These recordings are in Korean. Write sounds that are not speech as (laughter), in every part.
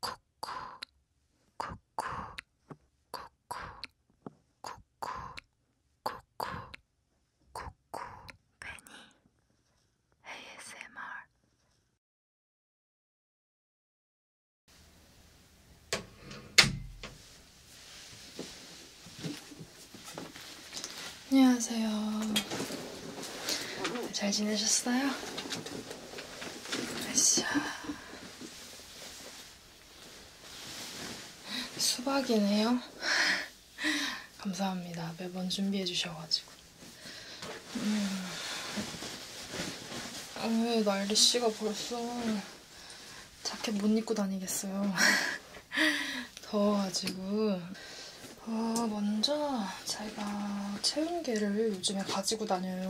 쿠쿠 쿠쿠 쿠쿠 쿠쿠 쿠쿠 쿠쿠 베니 ASMR 안녕하세요. 잘 지내셨어요? 으쌰. 수박이네요. (laughs) 감사합니다. 매번 준비해 주셔가지고. 음. 아, 왜 날씨가 벌써 자켓 못 입고 다니겠어요. (laughs) 더워가지고. 어, 먼저 제가 체온계를 요즘에 가지고 다녀요.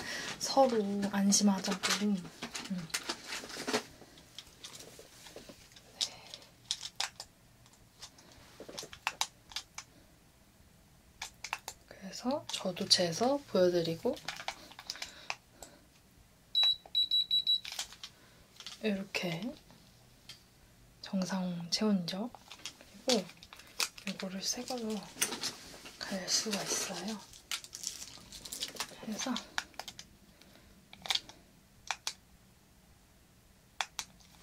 (laughs) 서로 안심하자고. 음. 네. 그래서 저도 재서 보여드리고 이렇게 정상 체온이죠. 그리고 어, 이거를 새 걸로 갈 수가 있어요. 그래서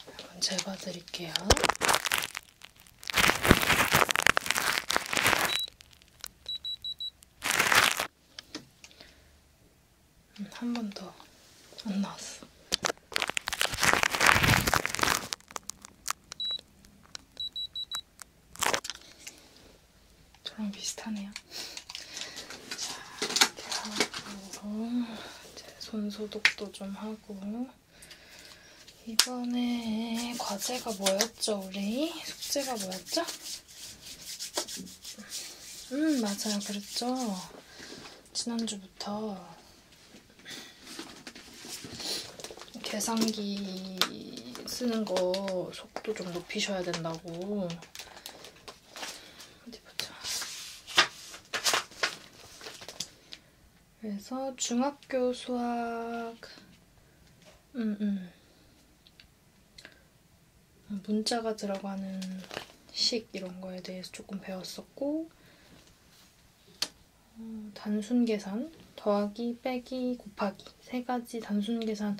한번 재봐 드릴게요. 음, 한번 더 안 나왔어. 저랑 비슷하네요. 자, 이렇게 하고 제손 소독도 좀 하고 이번에 과제가 뭐였죠, 우리? 숙제가 뭐였죠? 음, 맞아요. 그랬죠? 지난주부터 계산기 쓰는 거 속도 좀 높이셔야 된다고 어디 보자 그래서 중학교 수학 음, 음. 문자가 들어가는 식 이런 거에 대해서 조금 배웠었고 음, 단순 계산, 더하기, 빼기, 곱하기 세 가지 단순 계산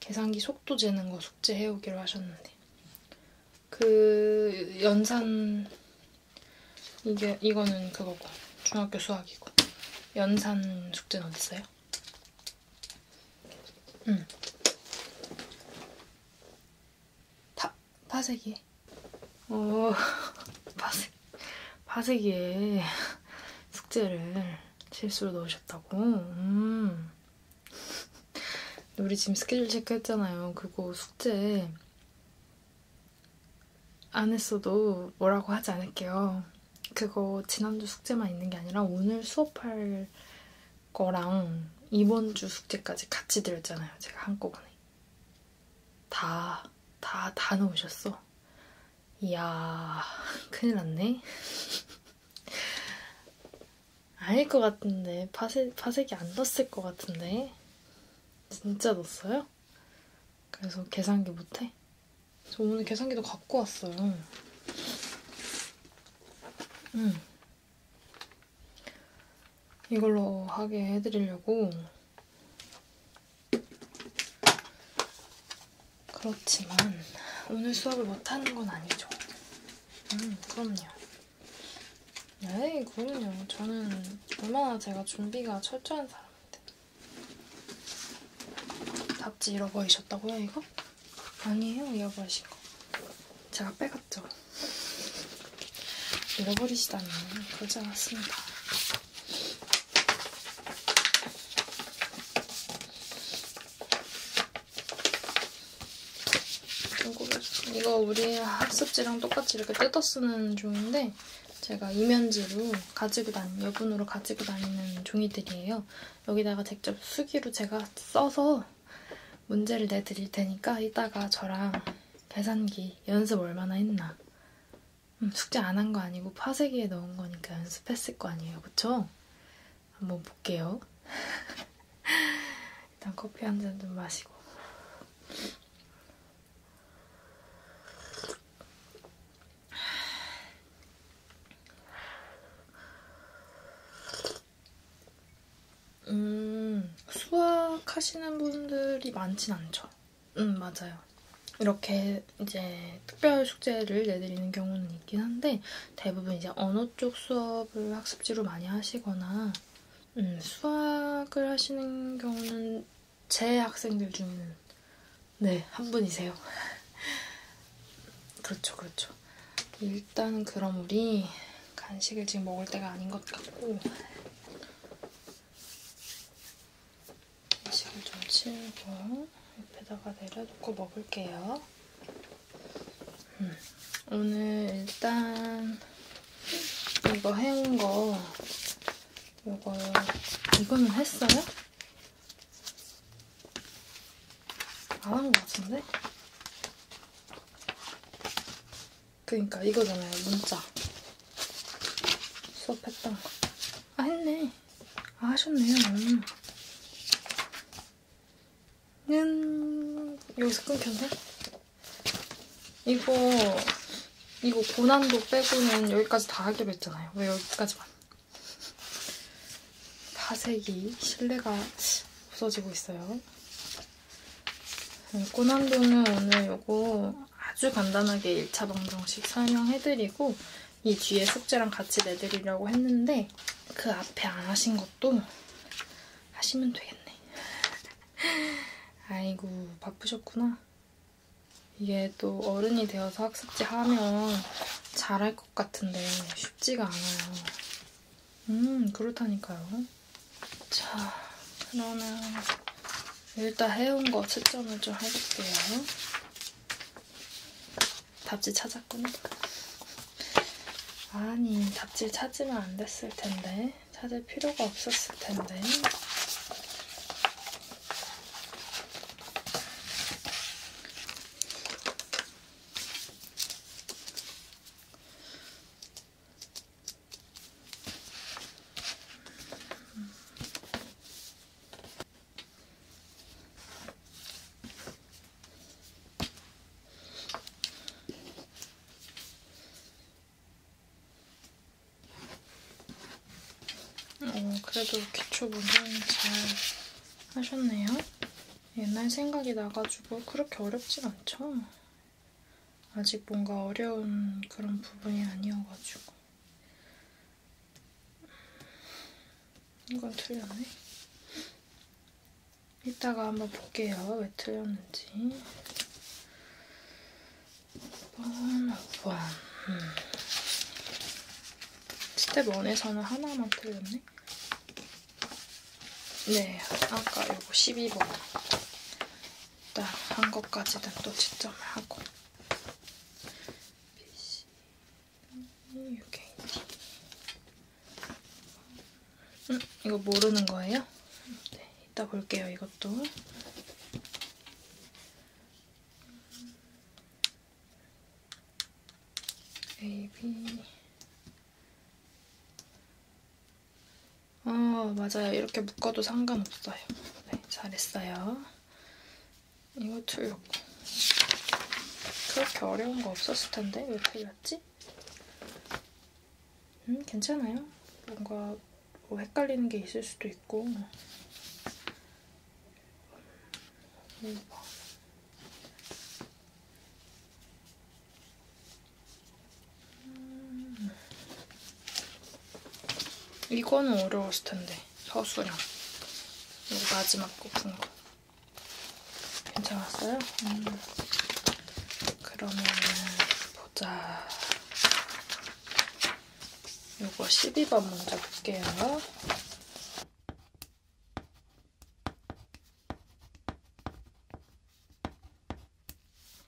계산기 속도 재는 거 숙제해오기로 하셨는데 그 연산 이게 이거는 그거고 중학교 수학이고 연산 숙제는 어딨어요? 음. 다 파세기. 오, 파세, 파세기에 숙제를 실수로 넣으셨다고? 음. 우리 지금 스케줄 체크했잖아요. 그거 숙제 안 했어도 뭐라고 하지 않을게요. 그거 지난주 숙제만 있는 게 아니라 오늘 수업할 거랑 이번 주 숙제까지 같이 들었잖아요. 제가 한꺼번에. 다, 다, 다 넣으셨어. 이야, 큰일 났네. (laughs) 아닐 것 같은데. 파색, 파색이 안 넣었을 것 같은데. 진짜 넣었어요? 그래서 계산기 못해? 저 오늘 계산기도 갖고 왔어요. 음. 이걸로 하게 해드리려고 그렇지만 오늘 수업을 못하는 건 아니죠. 음, 그럼요. 에이, 네, 그럼요. 저는 얼마나 제가 준비가 철저한 사람인데. 답지 잃어버리셨다고요, 이거? 아니에요, 잃어버리신 거. 제가 빼갔죠. 잃어버리시다니 그러지 않았습니다. 이거 우리 학습지랑 똑같이 이렇게 뜯어 쓰는 종인데 제가 이면지로 가지고 다니는, 여분으로 가지고 다니는 종이들이에요. 여기다가 직접 수기로 제가 써서 문제를 내드릴 테니까 이따가 저랑 계산기 연습 얼마나 했나 음, 숙제 안 한 거 아니고 파세기에 넣은 거니까 연습했을 거 아니에요, 그쵸? 한번 볼게요. (laughs) 일단 커피 한 잔 좀 마시고. 음, 수학하시는 분들이 많진 않죠. 음, 맞아요. 이렇게 이제 특별 숙제를 내드리는 경우는 있긴 한데 대부분 이제 언어 쪽 수업을 학습지로 많이 하시거나 음, 수학을 하시는 경우는 제 학생들 중에는 네, 한 분이세요. (laughs) 그렇죠, 그렇죠. 일단은 그럼 우리 간식을 지금 먹을 때가 아닌 것 같고 이식을 좀 치우고 옆에다가 내려놓고 먹을게요. 음, 오늘 일단 이거 해온 거 이거 이거는 했어요? 안한거 같은데? 그니까 이거잖아요. 문자. 수업했던 거. 아 했네. 아 하셨네요. 는 음. 음, 여기서 끊겼네? 이거 이거 고난도 빼고는 여기까지 다 하기로 했잖아요. 왜 여기까지만? 다색이 실내가 없어지고 있어요. 음, 고난도는 오늘 요거 아주 간단하게 1차 방정식 설명해드리고 이 뒤에 숙제랑 같이 내드리려고 했는데 그 앞에 안 하신 것도 하시면 되겠네. 아이고 바쁘셨구나. 이게 또 어른이 되어서 학습지 하면 잘할 것 같은데 쉽지가 않아요. 음 그렇다니까요. 자, 그러면 일단 해온 거 채점을 좀 해볼게요. 답지 찾았구나. 아니, 답지 찾으면 안 됐을 텐데. 찾을 필요가 없었을 텐데. 어, 그래도 기초 문제는 잘 하셨네요. 옛날 생각이 나가지고 그렇게 어렵진 않죠. 아직 뭔가 어려운 그런 부분이 아니어가지고 이건 틀렸네 이따가 한번 볼게요 왜 틀렸는지 5번 음, 5번 음. 스텝 1에서는 하나만 틀렸네 네 아까 요거 12번 따로 한 것까지는 또 채점을 하고 BC 음, UKT 음, 이거 모르는 거예요? 네, 이따 볼게요, 이것도. A, B, 어, 맞아요. 이렇게 묶어도 상관없어요. 네, 잘했어요. 이거 틀렸고. 그렇게 어려운 거 없었을 텐데 왜 틀렸지? 음, 괜찮아요. 뭔가 뭐 헷갈리는 게 있을 수도 있고. 음, 뭐. 음. 이거는 어려웠을 텐데 서수령 이거 마지막 거푼 거. 괜찮았어요? 음. 그러면 보자. 이거 12번 먼저 볼게요.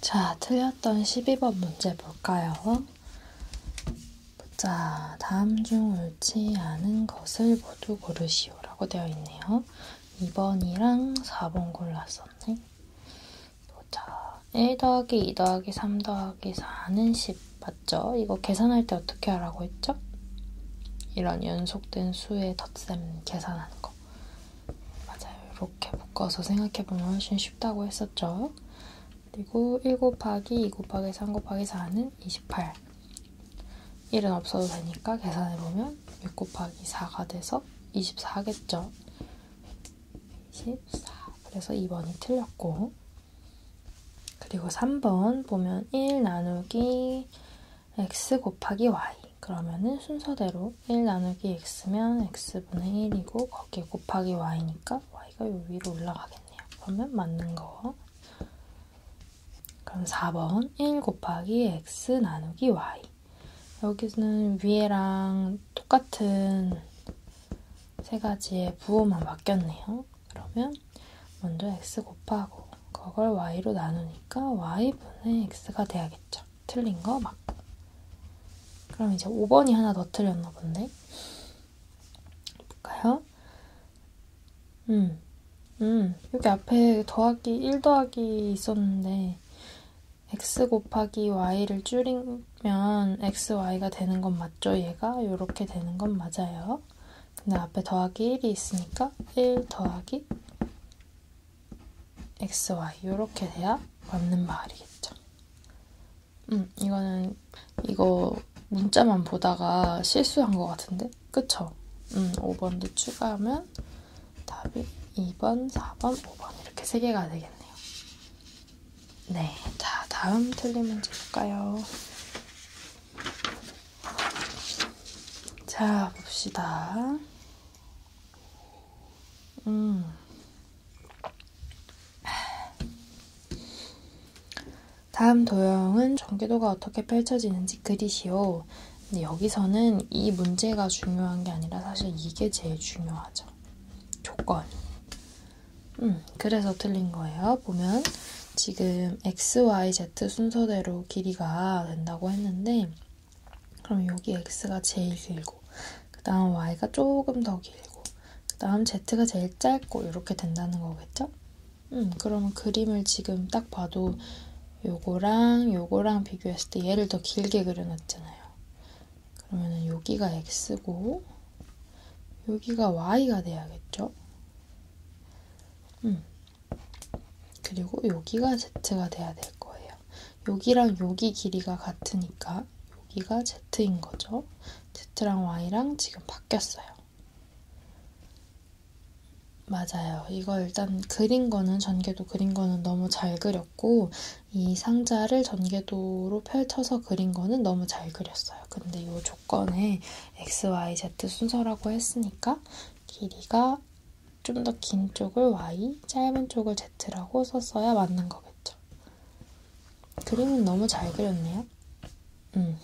자, 틀렸던 12번 문제 볼까요? 자, 다음 중 옳지 않은 것을 모두 고르시오라고 되어 있네요. 2번이랑 4번 골랐었네. 보자. 1 더하기 2 더하기 3 더하기 4는 10 맞죠? 이거 계산할 때 어떻게 하라고 했죠? 이런 연속된 수의 덧셈 계산하는 거. 맞아요. 이렇게 묶어서 생각해보면 훨씬 쉽다고 했었죠. 그리고 1 곱하기 2 곱하기 3 곱하기 4는 28. 1은 없어도 되니까 계산해보면 6 곱하기 4가 돼서 24겠죠. 14. 그래서 2번이 틀렸고. 그리고 3번 보면 1 나누기 x 곱하기 y. 그러면은 순서대로 1 나누기 x면 x분의 1이고 거기에 곱하기 y니까 y가 요 위로 올라가겠네요. 그러면 맞는 거. 그럼 4번 1 곱하기 x 나누기 y. 여기는 위에랑 똑같은 세 가지의 부호만 바뀌었네요. 그러면 먼저 x 곱하고 그걸 y로 나누니까 y분의 x가 돼야겠죠. 틀린 거 맞고. 그럼 이제 5번이 하나 더 틀렸나 본데. 볼까요? 음, 음, 여기 앞에 더하기 1 더하기 있었는데 x 곱하기 y를 줄이면 xy가 되는 건 맞죠? 얘가 요렇게 되는 건 맞아요. 근데 앞에 더하기 1이 있으니까 1 더하기 xy 요렇게 돼야 맞는 말이겠죠. 음, 이거는 이거 문자만 보다가 실수한 것 같은데? 그쵸? 음, 5번도 추가하면 답이 2번, 4번, 5번 이렇게 3개가 되겠네요. 네, 자 다음 틀린 문제 볼까요? 자 봅시다. 음. 다음 도형은 전개도가 어떻게 펼쳐지는지 그리시오. 근데 여기서는 이 문제가 중요한 게 아니라 사실 이게 제일 중요하죠. 조건. 음, 그래서 틀린 거예요. 보면 지금 x, y, z 순서대로 길이가 된다고 했는데 그럼 여기 x가 제일 길고 그 다음 y가 조금 더 길고 그 다음 z가 제일 짧고 이렇게 된다는 거겠죠? 음, 그러면 그림을 지금 딱 봐도 요거랑 요거랑 비교했을 때 얘를 더 길게 그려놨잖아요. 그러면은 여기가 x고 여기가 y가 돼야겠죠? 음. 그리고 여기가 z가 돼야 될 거예요. 여기랑 여기 길이가 같으니까 여기가 z인 거죠. z랑 y랑 지금 바뀌었어요. 맞아요. 이거 일단 그린 거는 전개도 그린 거는 너무 잘 그렸고 그렸고 이 상자를 전개도로 펼쳐서 그린 거는 너무 잘 그렸어요. 근데 이 조건에 x, y, z 순서라고 했으니까 길이가 좀 더 긴 쪽을 y, 짧은 쪽을 z라고 썼어야 맞는 거겠죠. 그림은 너무 잘 그렸네요. 음.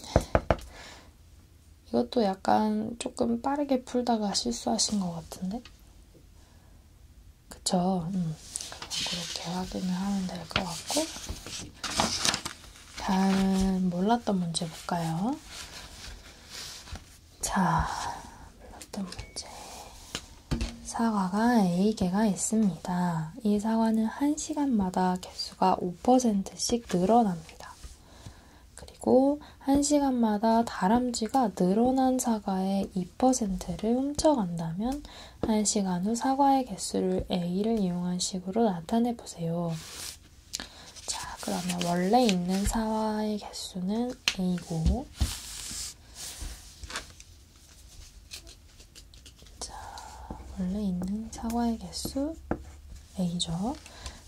이것도 약간 조금 빠르게 풀다가 실수하신 것 같은데? 그쵸? 음. 그렇게 확인을 하면 될 것 같고 다음 몰랐던 문제 볼까요? 자, 몰랐던 문제 사과가 A개가 있습니다. 이 사과는 1시간마다 개수가 5%씩 늘어납니다. 그리고 1시간마다 다람쥐가 늘어난 사과의 2%를 훔쳐간다면 1시간 후 사과의 개수를 A를 이용한 식으로 나타내 보세요. 자, 그러면 원래 있는 사과의 개수는 A고, 자, 원래 있는 사과의 개수 A죠.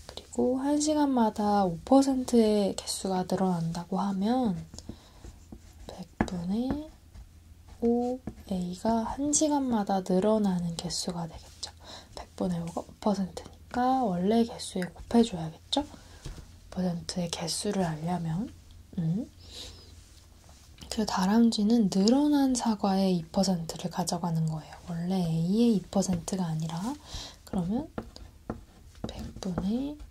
그리고 1시간마다 5%의 개수가 늘어난다고 하면 100분의 5a가 1시간마다 늘어나는 개수가 되겠죠. 100분의 5가 5%니까 원래 개수에 곱해줘야겠죠. 5%의 개수를 알려면 음. 그 다람쥐는 늘어난 사과의 2%를 가져가는 거예요. 원래 a의 2%가 아니라 그러면 100분의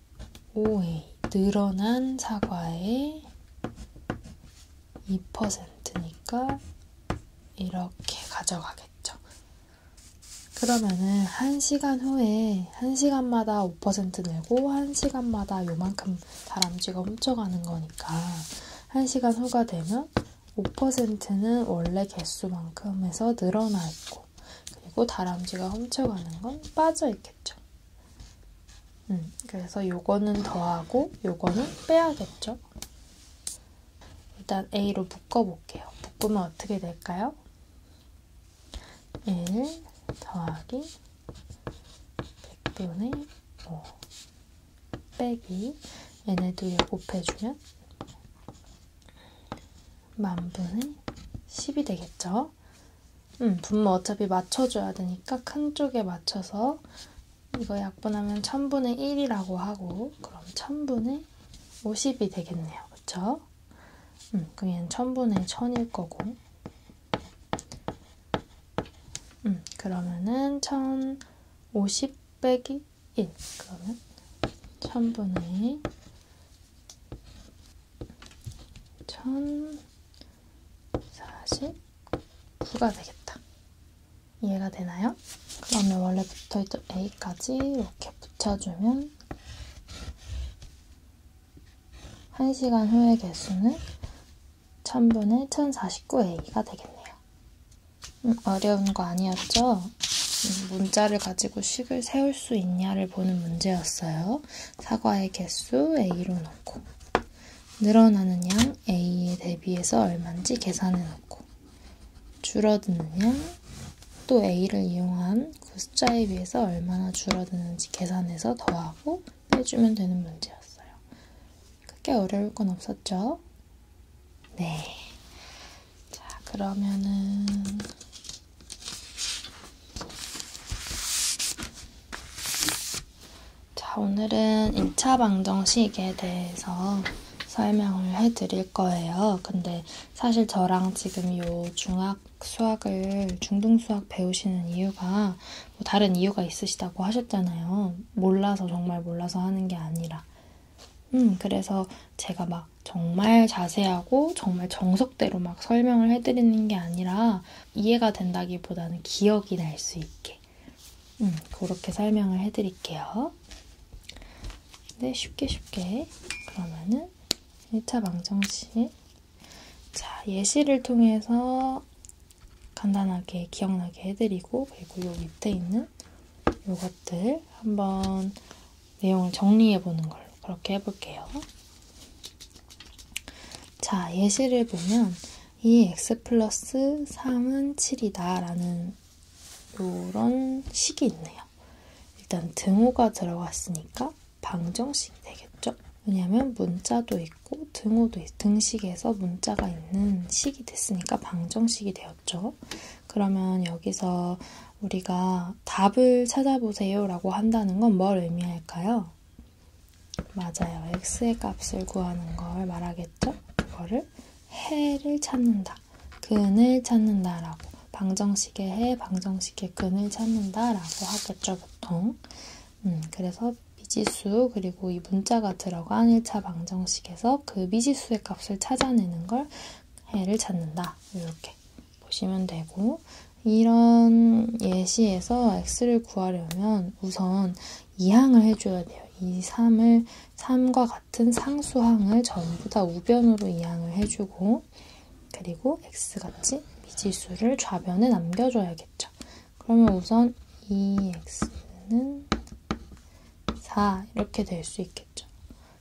5A 늘어난 사과의 2%니까 이렇게 가져가겠죠. 그러면은 1시간 후에 1시간마다 5% 내고 1시간마다 요만큼 다람쥐가 훔쳐가는 거니까 1시간 후가 되면 5%는 원래 개수만큼에서 늘어나 있고 그리고 다람쥐가 훔쳐가는 건 빠져 있겠죠. 음, 그래서 요거는 더하고 요거는 빼야겠죠? 일단 A로 묶어볼게요. 묶으면 어떻게 될까요? 1 더하기 100분의 5 빼기 얘네도 곱해주면 만분의 10이 되겠죠? 음, 분모 어차피 맞춰줘야 되니까 큰 쪽에 맞춰서 이거 약분하면 1000분의 1이라고 하고 그럼 1000분의 50이 되겠네요. 그쵸? 음, 그럼 얘는 1000분의 1000일 거고 음, 그러면은 1050 빼기 1 그러면 1000분의 1049가 되겠다. 이해가 되나요? 그러면 원래 붙어있던 A까지 이렇게 붙여주면 1시간 후의 개수는 1000분의 1049A가 되겠네요. 음, 어려운 거 아니었죠? 음, 문자를 가지고 식을 세울 수 있냐를 보는 문제였어요. 해서 사과의 개수 A로 놓고 늘어나는 양 A에 대비해서 얼마인지 계산해 놓고 줄어드는 양 또 A를 이용한 그 숫자에 비해서 얼마나 줄어드는지 계산해서 더하고 빼주면 되는 문제였어요. 크게 어려울 건 없었죠? 네. 자, 그러면은 자, 오늘은 1차 방정식에 대해서 설명을 해 드릴 거예요. 근데 사실 저랑 지금 요 중학 수학을 중등 수학 배우시는 이유가 뭐 다른 이유가 있으시다고 하셨잖아요. 몰라서 정말 몰라서 하는 게 아니라. 음, 그래서 제가 막 정말 자세하고 정말 정석대로만 막 설명을 해드리는 게 아니라 이해가 된다기보다는 기억이 날 수 있게 음, 그렇게 설명을 해드릴게요. 네, 쉽게 쉽게 그러면은 1차 방정식 자 예시를 통해서 간단하게 기억나게 해드리고 그리고 요 밑에 있는 요것들 한번 내용을 정리해 보는 걸로 그렇게 해볼게요. 자, 예시를 보면 2x 플러스 3은 7이다 라는 요런 식이 있네요. 일단 등호가 들어갔으니까 방정식이 되겠죠? 왜냐면 문자도 있고 등호도 등식에서 문자가 있는 식이 됐으니까 방정식이 되었죠. 그러면 여기서 우리가 어, 답을 찾아보세요 라고 한다는 건 뭘 의미할까요? 맞아요. x의 값을 구하는 걸 말하겠죠? 그거를 해를 찾는다. 근을 찾는다라고. 방정식의 해, 방정식의 근을 찾는다라고 하겠죠, 보통. 음, 그래서 미지수, 그리고 이 문자가 들어간 1차 방정식에서 그 미지수의 값을 찾아내는 걸 해를 찾는다. 이렇게 보시면 되고 이런 예시에서 x를 구하려면 우선 이항을 해줘야 돼요. 이 3을 3과 같은 상수항을 전부 다 우변으로 이항을 해주고 그리고 x같이 미지수를 좌변에 남겨줘야겠죠. 그러면 우선 2x는 4 이렇게 될 수 있겠죠.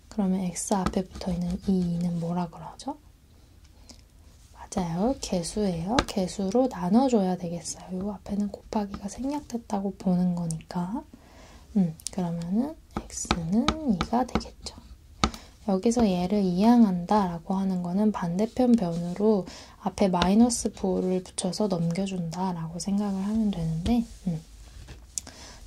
그러면 x 앞에 붙어있는 2는 뭐라 그러죠? 맞아요. 개수예요. 개수로 나눠줘야 되겠어요. 요 앞에는 곱하기가 생략됐다고 보는 거니까. 음, 그러면은 x는 2가 되겠죠. 여기서 얘를 이항한다 라고 하는 거는 반대편 변으로 앞에 마이너스 부호를 붙여서 넘겨준다 라고 생각을 하면 되는데 음,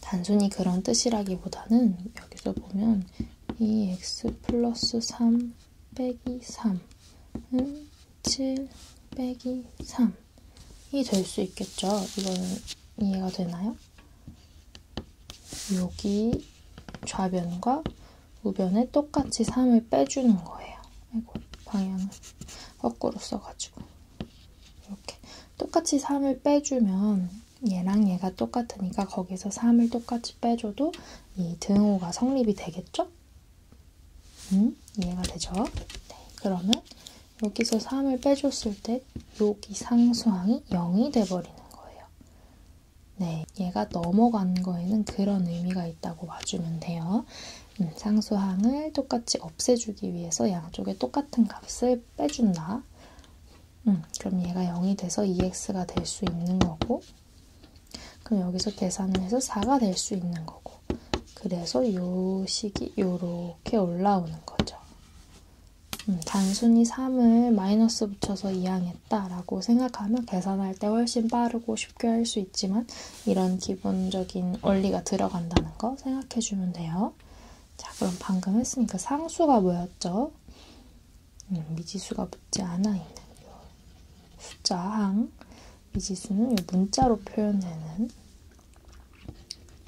단순히 그런 뜻이라기보다는 여기서 보면 보면 이 x 플러스 3 빼기 3은 7 빼기 3이 될 수 있겠죠. 이거는 이해가 되나요? 여기 좌변과 우변에 똑같이 3을 빼주는 거예요. 아이고, 방향을 거꾸로 써가지고. 이렇게. 똑같이 3을 빼주면 얘랑 얘가 똑같으니까 거기서 3을 똑같이 빼줘도 이 등호가 성립이 되겠죠? 음, 이해가 되죠? 네, 그러면 여기서 3을 빼줬을 때 여기 상수항이 0이 돼버리는 거예요. 네, 얘가 넘어간 거에는 그런 의미가 있다고 봐주면 돼요. 음, 상수항을 똑같이 없애주기 위해서 양쪽에 똑같은 값을 빼준다. 음, 그럼 얘가 0이 돼서 2x가 될 수 있는 거고 그럼 여기서 계산을 해서 4가 될 수 있는 거고 그래서 요 식이 요렇게 올라오는 거죠. 음, 단순히 3을 마이너스 붙여서 이항했다라고 생각하면 계산할 때 훨씬 빠르고 쉽게 할 수 있지만 이런 기본적인 원리가 들어간다는 거 생각해 주면 돼요. 자, 그럼 방금 했으니까 상수가 뭐였죠? 미지수가 붙지 않아 있는 요 숫자항 미지수는 요 문자로 표현되는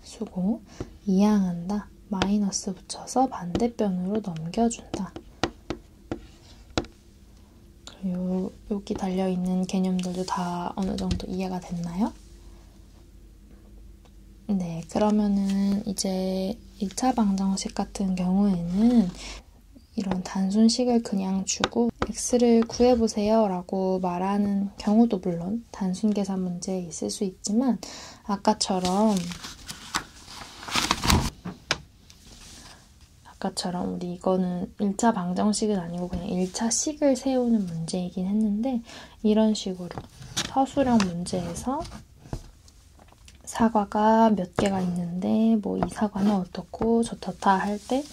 수고 이항한다 마이너스 붙여서 반대편으로 넘겨준다. 요, 여기 달려있는 개념들도 다 어느 정도 이해가 됐나요? 네, 그러면은 이제 1차 방정식 같은 경우에는 이런 단순식을 그냥 주고 x를 구해보세요 라고 말하는 경우도 물론 단순 계산 문제에 있을 수 있지만 아까처럼 아까처럼 우리 이거는 1차 방정식은 아니고 그냥 1차 식을 세우는 문제이긴 했는데 이런 식으로 서술형 문제에서 사과가 몇 개가 있는데 뭐 이 사과는 어떻고 저렇다 할 때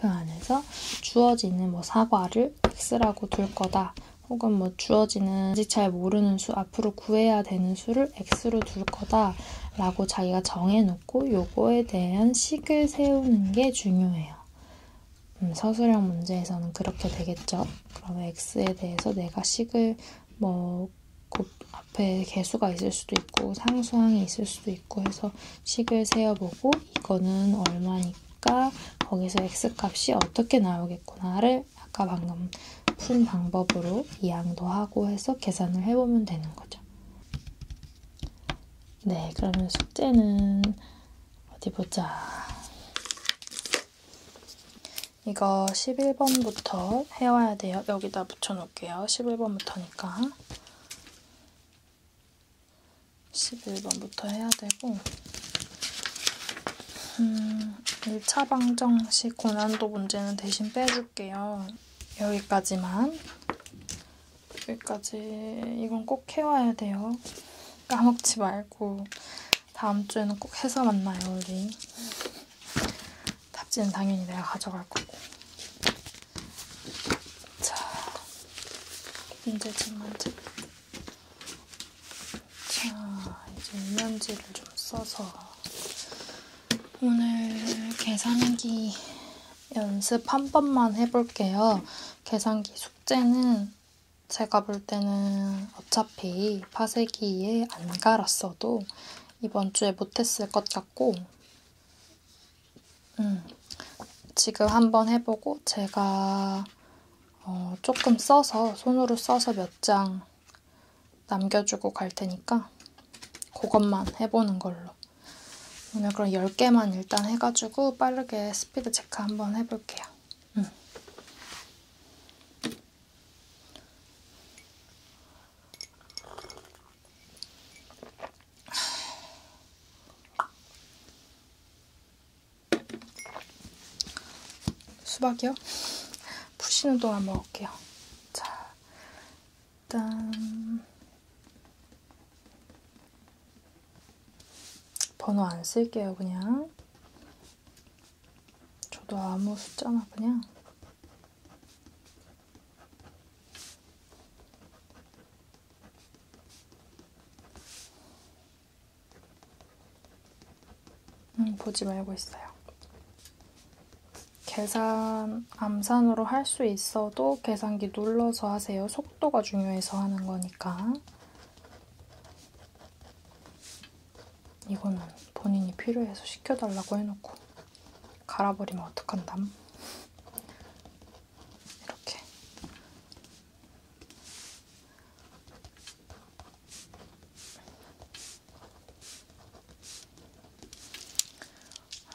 그 안에서 주어지는 뭐 사과를 x라고 둘 거다. 혹은 뭐 주어지는 아직 잘 모르는 수, 앞으로 구해야 되는 수를 x로 둘 거다 라고 자기가 정해놓고 요거에 대한 식을 세우는 게 중요해요. 음, 서술형 문제에서는 그렇게 되겠죠. 그러면 x에 대해서 내가 식을 뭐 앞에 개수가 있을 수도 있고 상수항이 있을 수도 있고 해서 식을 세어보고 이거는 얼마니까 거기서 x값이 어떻게 나오겠구나를 아까 방금 푼 방법으로 이항도 하고 해서 계산을 해보면 되는 거죠. 네, 그러면 숙제는 어디 보자. 이거 11번부터 해와야 돼요. 여기다 붙여놓을게요. 11번부터니까. 11번부터 해야 되고 음, 1차 방정 시 고난도 문제는 대신 빼줄게요. 여기까지만 여기까지 이건 꼭 해와야 돼요. 까먹지 말고 다음 주에는 꼭 해서 만나요 우리. 답지는 당연히 내가 가져갈 거고. 자, 문제집 문제. 자, 이제 이면지를 좀 써서 오늘 계산기 연습 한 번만 해볼게요. 계산기 숙제는 제가 볼 때는 어차피 파세기에 안 갈았어도 이번 주에 못했을 것 같고 음, 지금 한번 해보고 제가 어, 조금 써서 손으로 써서 몇 장 남겨주고 갈 테니까 그것만 해보는 걸로 오늘 그럼 10개만 일단 해가지고 빠르게 스피드 체크 한번 해볼게요. 응. 수박이요? 푸시는 동안 먹을게요. 자, 일단 번호 안 쓸게요, 그냥. 저도 아무 숫자나 그냥. 음, 보지 말고 있어요. 계산 암산으로 할 수 있어도 계산기 눌러서 하세요. 속도가 중요해서 하는 거니까. 이거는 본인이 필요해서 시켜달라고 해놓고 갈아버리면 어떡한담? 이렇게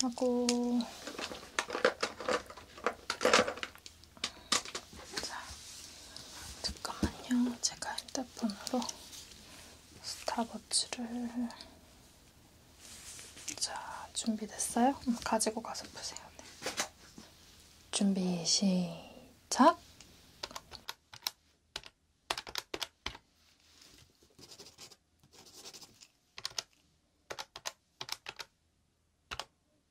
하고 자, 잠깐만요. 제가 핸드폰으로 스타워치를 자, 준비됐어요? 가지고 가서 보세요. 네. 준비 시작!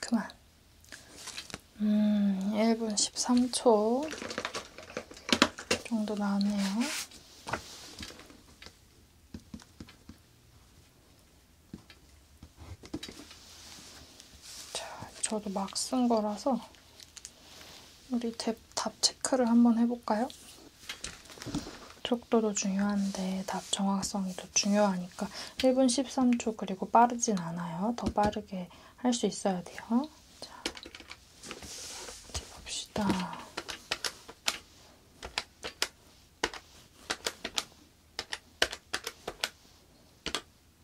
그만. 음, 1분 13초 정도 나왔네요. 자, 저도 막 쓴 거라서 우리 답, 답 체크를 한번 해볼까요? 속도도 중요한데 답 정확성이 더 중요하니까 1분 13초 그리고 빠르진 않아요. 더 빠르게 할 수 있어야 돼요. 자, 어디 봅시다.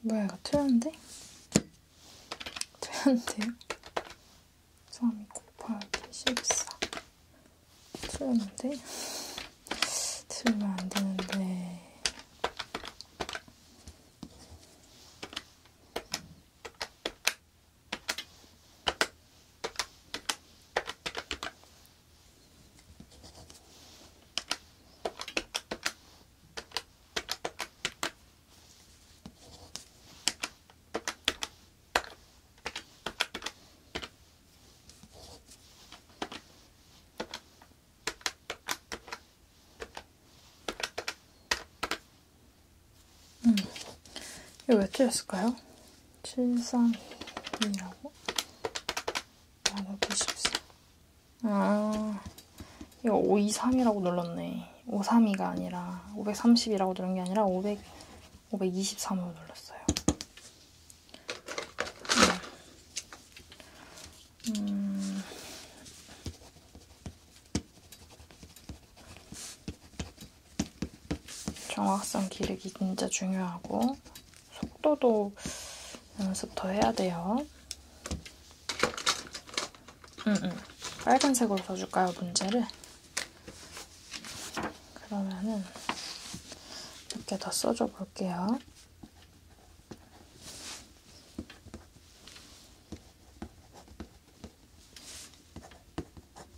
뭐야 이거 튀었는데? 튀었는데요? 삼이 곱하기 14 튀었는데? 틀리면 안 되는데 음, 이거 왜 찢었을까요? 732라고 나누기 14. 아, 이거 523이라고 눌렀네. 532가 아니라 530이라고 누른 게 아니라 500, 523으로 눌렀어요. 음. 음. 정확성 기르기 진짜 중요하고 속도도 연습 더 해야 돼요. 음, 음. 빨간색으로 써줄까요, 문제를? 그러면은 몇개더 써줘 볼게요.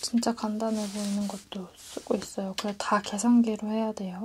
진짜 간단해 보이는 것도 쓰고 있어요. 그래 다 계산기로 해야 돼요.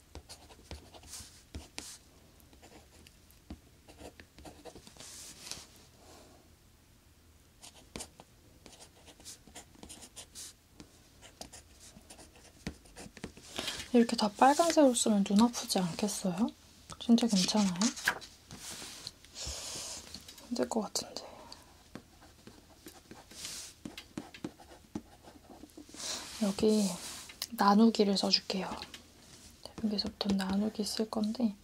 이렇게 다 빨간색으로 쓰면 눈 아프지 않겠어요? 진짜 괜찮아요? 안될것 같은데. 여기 나누기를 써줄게요. 여기서부터 나누기 쓸 건데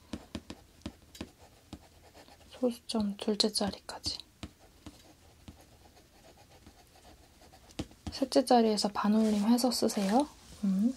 소수점 둘째 자리까지 셋째 자리에서 반올림 해서 쓰세요. 음.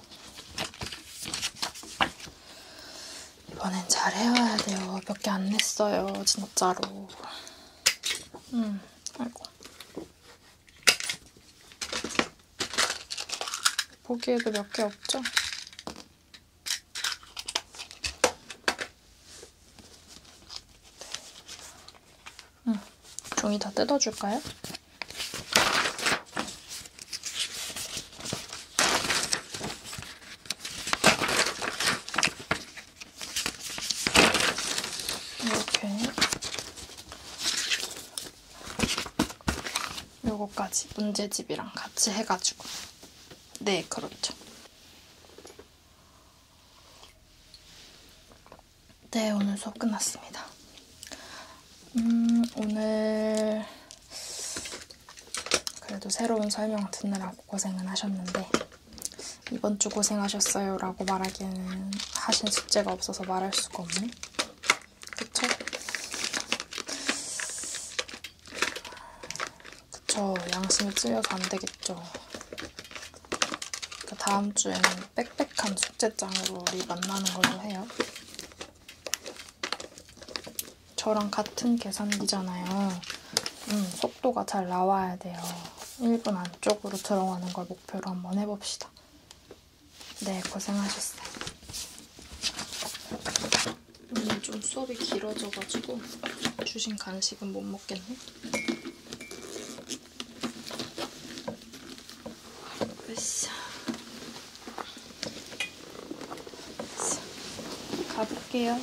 이번엔 잘 해와야 돼요. 몇 개 안 냈어요, 진짜로. 음, 아이고. 보기에도 몇 개 없죠? 네. 음, 종이 다 뜯어줄까요? 이렇게 요거까지 문제집이랑 같이 해가지고 네 그렇죠 네 오늘 수업 끝났습니다 음, 오늘 그래도 새로운 설명 듣느라고 고생은 하셨는데 이번 주 고생하셨어요 라고 말하기에는 하신 숙제가 없어서 말할 수가 없네 그쵸? 그쵸 양심이 찔려서 안되겠죠 그 그러니까 다음 주에는 빽빽한 숙제장으로 우리 만나는 걸로 해요 저랑 같은 계산기잖아요. 음, 속도가 잘 나와야 돼요. 1분 안쪽으로 들어가는 걸 목표로 한번 해봅시다. 네, 고생하셨어요. 오늘 좀 수업이 길어져가지고 주신 간식은 못 먹겠네. よいしょ가볼게요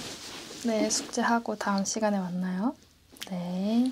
네 숙제하고 다음 시간에 만나요 네